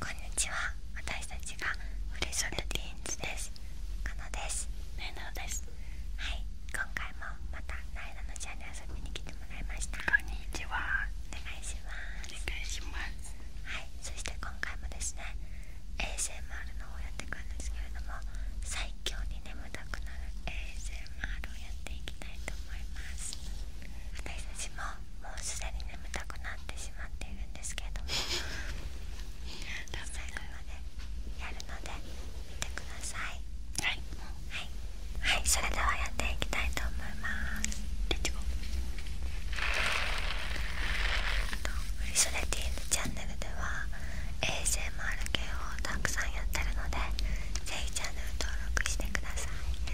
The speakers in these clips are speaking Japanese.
こんにちは私たちがフレッシュンルティーンズですかのですなえなですはい今回もまたなえなのャンネル遊びに来てもらいましたこんにちはお願いしますはいそして今回もですね ASMR のをやっていくんですけれども最強に眠たくなる ASMR をやっていきたいと思います私たちももうすでに眠たくなってしまっているんですけれども最後までやるので見てくださいはい、はいそれではやっていきたいと思いますレッツゴーフリソレティーヌチャンネルでは ASMR 系をたくさんやってるのでぜひチャンネル登録してください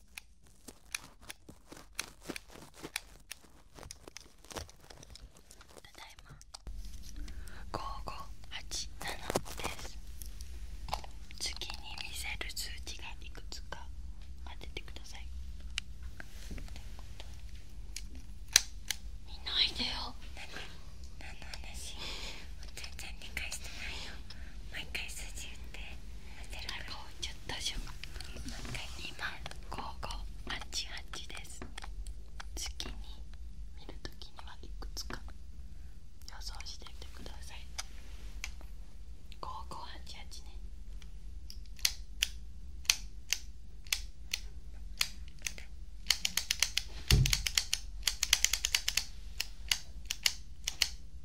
ただいま5587です次に見せる数値がいくつか当ててください見ないでよ何の話全然理解してないよ毎回数字言ってちょっとしょ今5588です月に見るときにはいくつか予想してみてください5588ね5588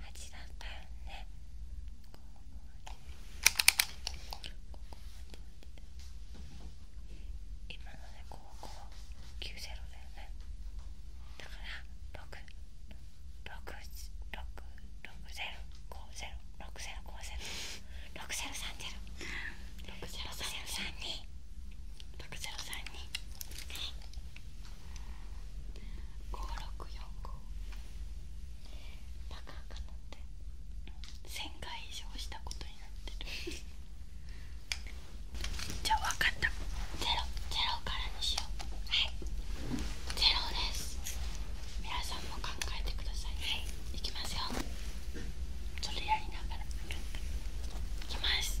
8だったよね今ので高校90だよねだから6 6 6 6 0 5 0 6 0 5 0 6 0 3 0 6 0 3 2 6 0 3 2 6 0 3 2はい5645バカかなって1000回以上したことになってる じゃあ分かったゼロゼロからにしようはいゼロです皆さんも考えてくださいはいいきますよそれやりながらいきます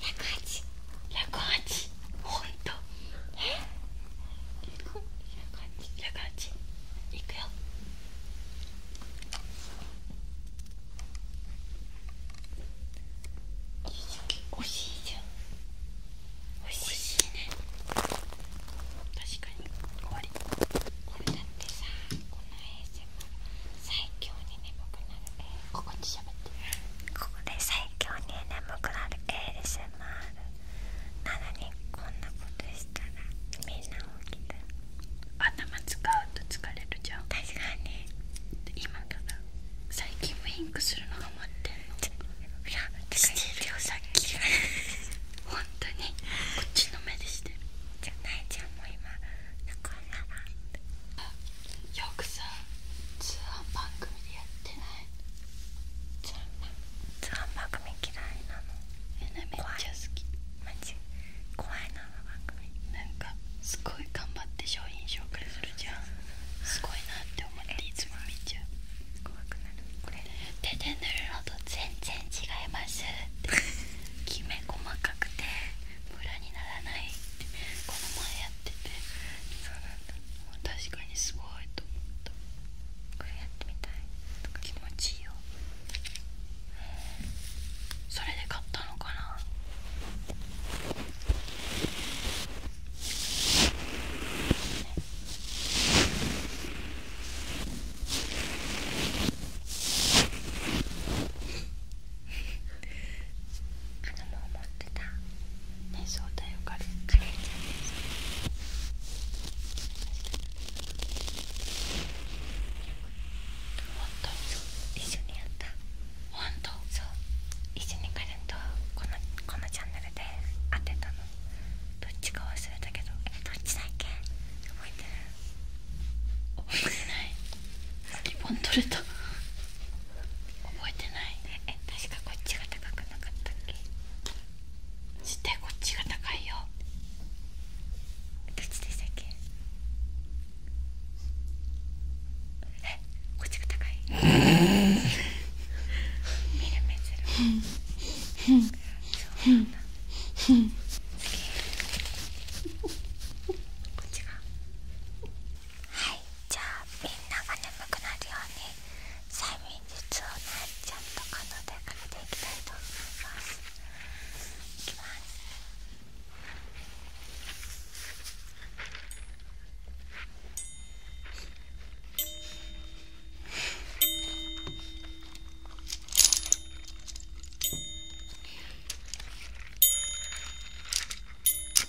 108 108ほんとえ108 108いくよ惜しいじゃん惜しいね確かに終わりこれだってさこの ASMR 最強に眠くなる ASMR ここで最強に眠くなる ASMR なのにこんなことしたらみんな起きて、頭使うと疲れるじゃん確かに今から最近ウィンクするのが待ってんのいやしてるよさっき 本当にこっちの目でしてるじゃないじゃんもう今よくさツアー番組でやってないツアー番組嫌いなのめっちゃ好き怖いなの番組なんかすごい頑張って商品紹介するじゃんすごいなって思っていつも見ちゃう手で塗るのと全然違いますきめ細かくてムにならないってこの前やっててそうなんだ確かにすごいと思ったこれやってみたい気持ちいいよそれで買ったのかなあのもう持ってたねそうだよカレンちゃんですほんと一緒にやったほんとそう一緒にカレンとこのこのチャンネルで当てたのどっちか忘れたけどえどっちだっけ覚えてる覚えてないリボン取れた覚えてないえ確かこっちが高くなかったっけ絶対こっちが高いよどっちでしたっけえこっちが高い見る うんはいじゃあみんなが眠くなるように催眠術をなちゃんと可能でかけていきたいと思いますいきますはい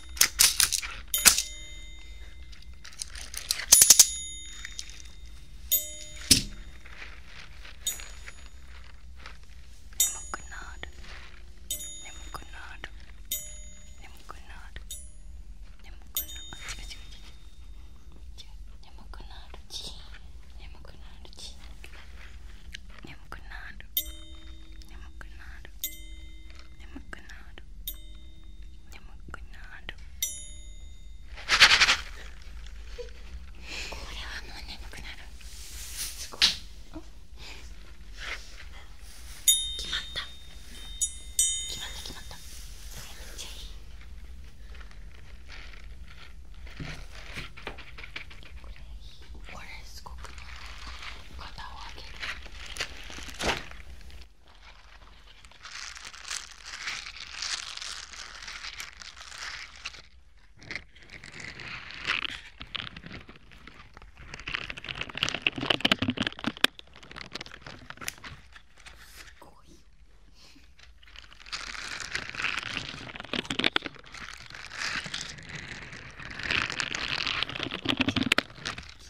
眠くなる眠くなる眠くなる眠くなる眠くなるち眠くなるち眠くなる眠くなる眠くな眠くなる眠くなるこれはもう眠くなるすごい決まった決まった決まったそれめっちゃいいこれすごくない肩を上げるすごい。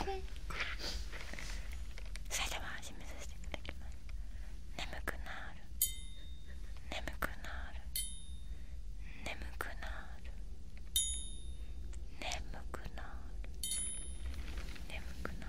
これ埼玉始めさせていただきます眠くなる眠くなる眠くなる眠くなる眠くなる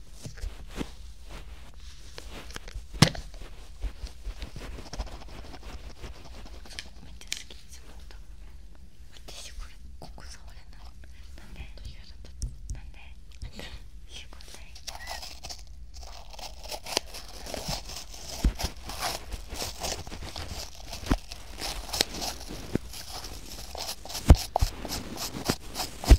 ちゃ好きですもんと私これここ触れないなんでなんでいうことないこ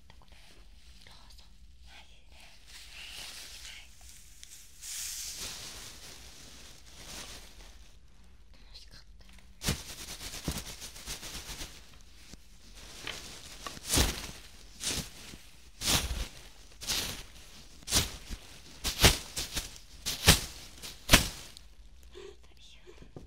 なところローソンはいいいねはい楽しかったあり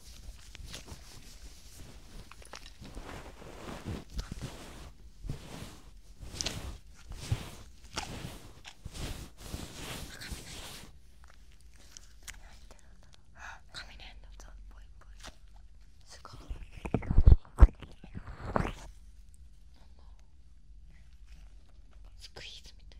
雷の音ぽいぽいすごいスクイーズみたい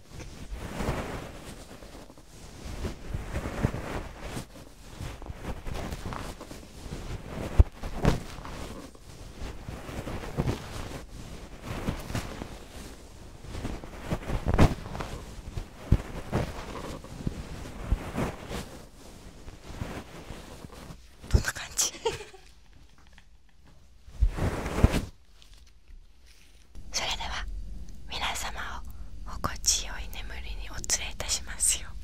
どんな感じそれでは皆様を心地よい眠りにお連れいたしますよ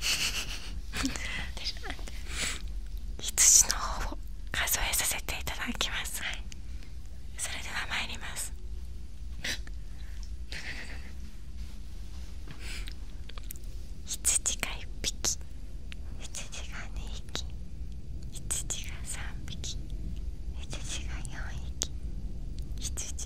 羊の方を数えさせていただきます、はい、それでは参ります羊が1匹羊が2匹羊が3匹羊が4匹羊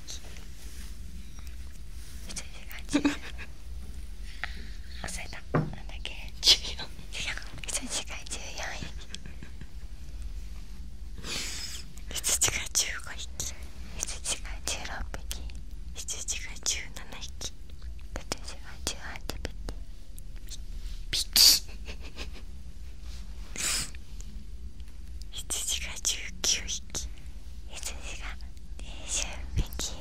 時間忘れたなんだっけ14羊時間14位羊が15匹羊が16匹羊が17匹羊が18匹ピッピッ羊が19匹羊が20匹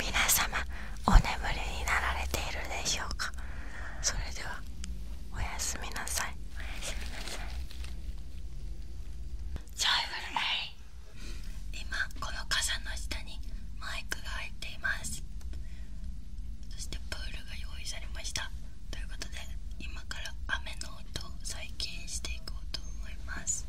皆様お眠りになられているでしょうかそれではおやすみなさいおやすみなさい今この傘の下にマイクが入っていますそしてプールが用意されましたということで今から雨の音を再現していこうと思います。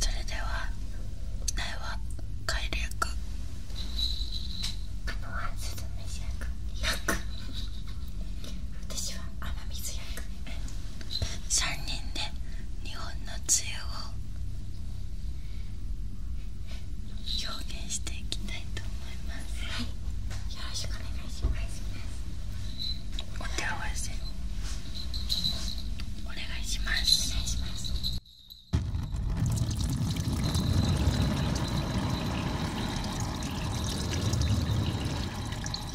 それでは苗は改略あのはすずめしゃく私は雨水役3人で日本の梅雨を表現していきたいと思いますはいよろしくお願いしますお手合わせお願いしますお願いします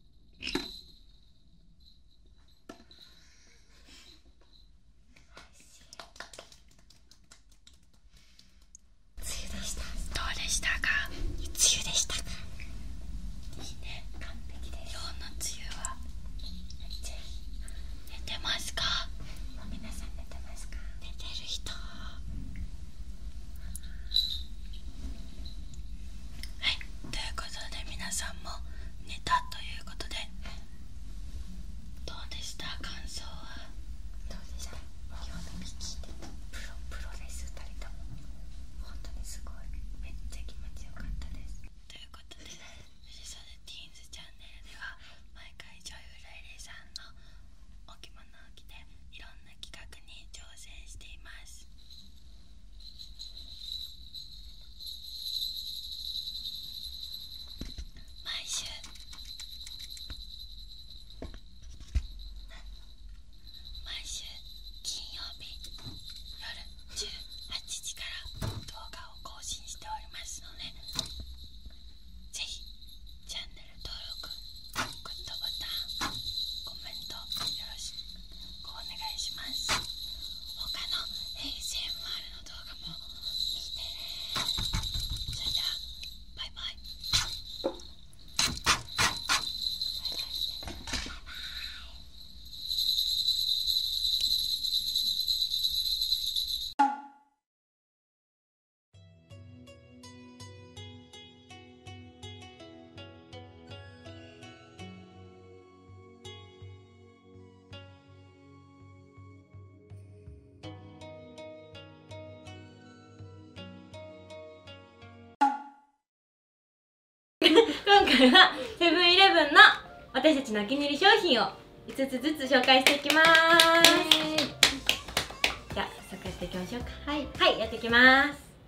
でしたどうでしたか梅雨でしたいいね完璧です今日の梅雨は寝てますか皆さん寝てますか寝てる人はいということで皆さんも寝たということでどうでした感想はどうでした今日のミキプロレス2人とも本当にすごいめっちゃ気持ちよかったですということで藤沢ティーンズチャンネルでは毎回女優ライレイさんのお着物を着ていろんな企画に挑戦しています。毎週毎週金曜日夜18時から動画を更新しておりますのでぜひチャンネル登録グッドボタンコメントよろしくお願いします他の ASMR の動画も見てねそれではバイバイバイバイバイバイ今回はセブンイレブンの私たちのお気に入り商品を5つずつ紹介していきます、じゃ早速やっていきましょうかはい、はい、やっていきます